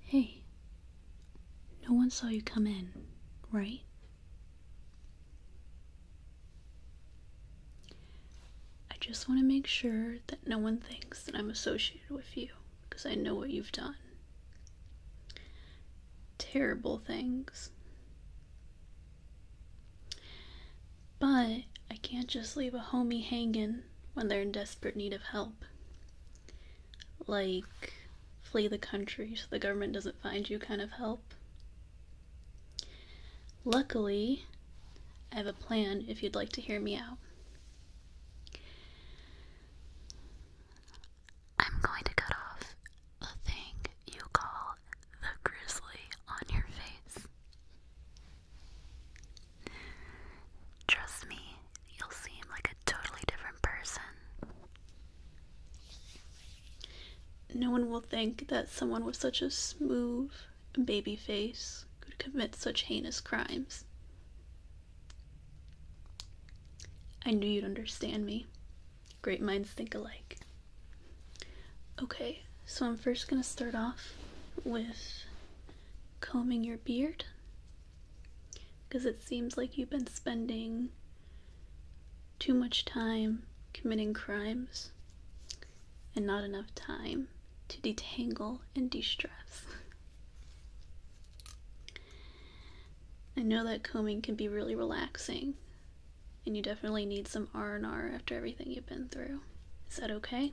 Hey, no one saw you come in, right? I just want to make sure that no one thinks that I'm associated with you because I know what you've done. Terrible things. But I can't just leave a homie hanging when they're in desperate need of help like flee the country so the government doesn't find you kind of help. Luckily, I have a plan if you'd like to hear me out. I'm going to cut off the thing you call the grizzly on your face. Trust me, you'll seem like a totally different person. No one will think that someone with such a smooth baby face could commit such heinous crimes. I knew you'd understand me. Great minds think alike. Okay, so I'm first gonna start off with combing your beard because it seems like you've been spending too much time committing crimes and not enough time to detangle and de stress. I know that combing can be really relaxing and you definitely need some R&R after everything you've been through. Is that okay?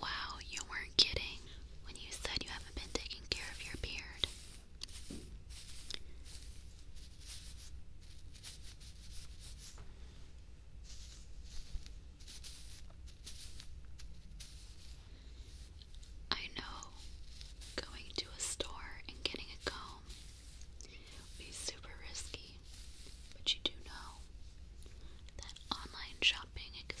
Wow, you weren't kidding when you said you haven't been taking care of your beard. I know going to a store and getting a comb would be super risky, but you do know that online shopping exists.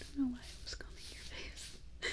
I don't know why I was combing your face.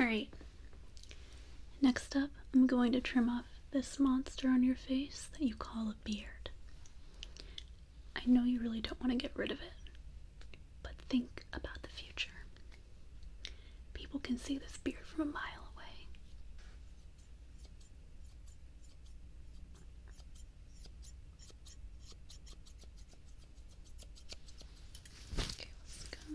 Alright, next up, I'm going to trim off this monster on your face that you call a beard. I know you really don't want to get rid of it, but think about the future. People can see this beard from a mile away. Okay, let's go.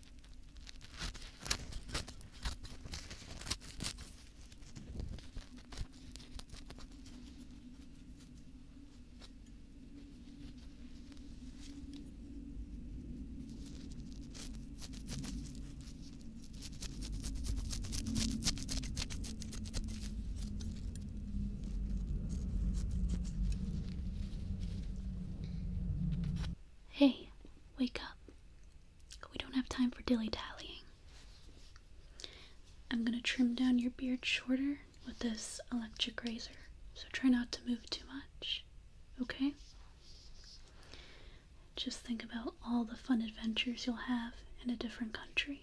Hey, wake up. We don't have time for dilly dallying. I'm gonna trim down your beard shorter with this electric razor, so try not to move too much, okay? Just think about all the fun adventures you'll have in a different country.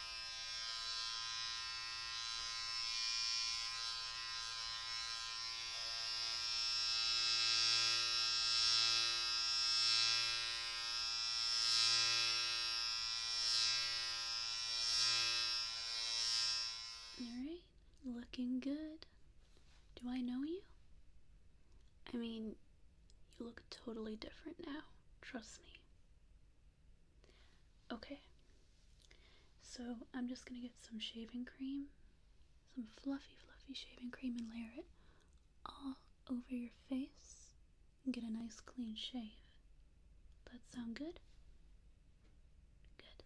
Alright, looking good. Do I know you? I mean, you look totally different now, trust me. Okay, so I'm just gonna get some shaving cream, some fluffy, fluffy shaving cream, and layer it all over your face and get a nice clean shave. That sound good? Good.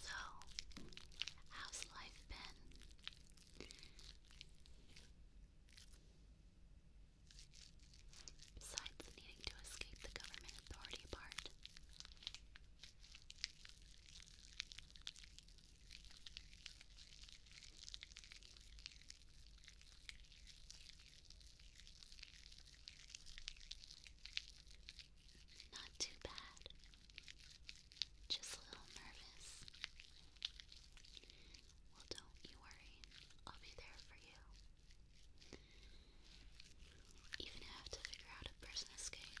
So, how's life been? Besides needing to escape the government authority part. Not too bad. Just a little nervous. Well, don't you worry. I'll be there for you. Even if I have to figure out a prison escape.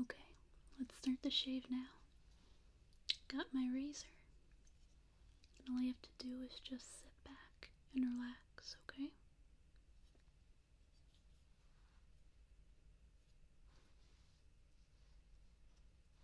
Okay, let's start the shave now. Got my razor. all you have to do is just sit back and relax, okay?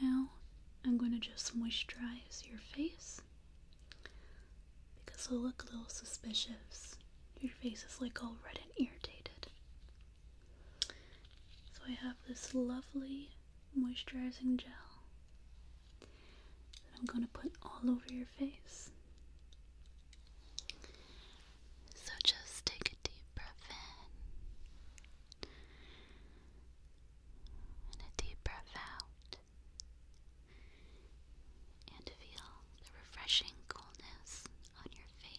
Now I'm going to just moisturize your face because it'll look a little suspicious. Your face is like all red and irritated. So I have this lovely moisturizing gel that I'm going to put all over your face. So just take a deep breath in and a deep breath out and feel the refreshing coolness on your face.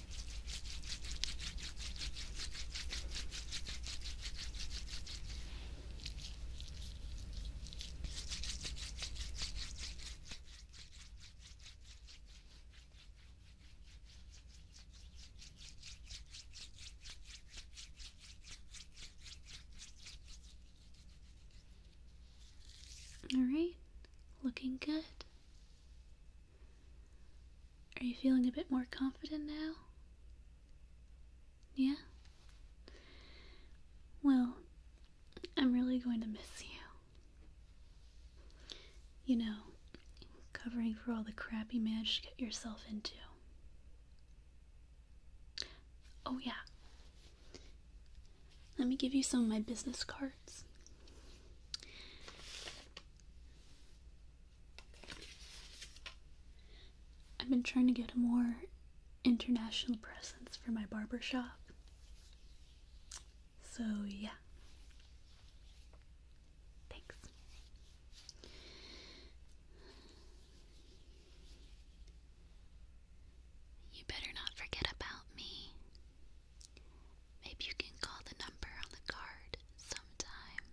All right, looking good. Are you feeling a bit more confident now? Yeah? Well, I'm really going to miss you. You know, covering for all the crap you managed to get yourself into. Oh, yeah. Let me give you some of my business cards. I've been trying to get a more international presence for my barber shop. So, yeah. Thanks. You better not forget about me. Maybe you can call the number on the card sometime.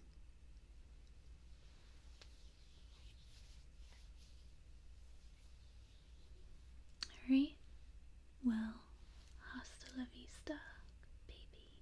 Alright, well, hasta la vista, baby.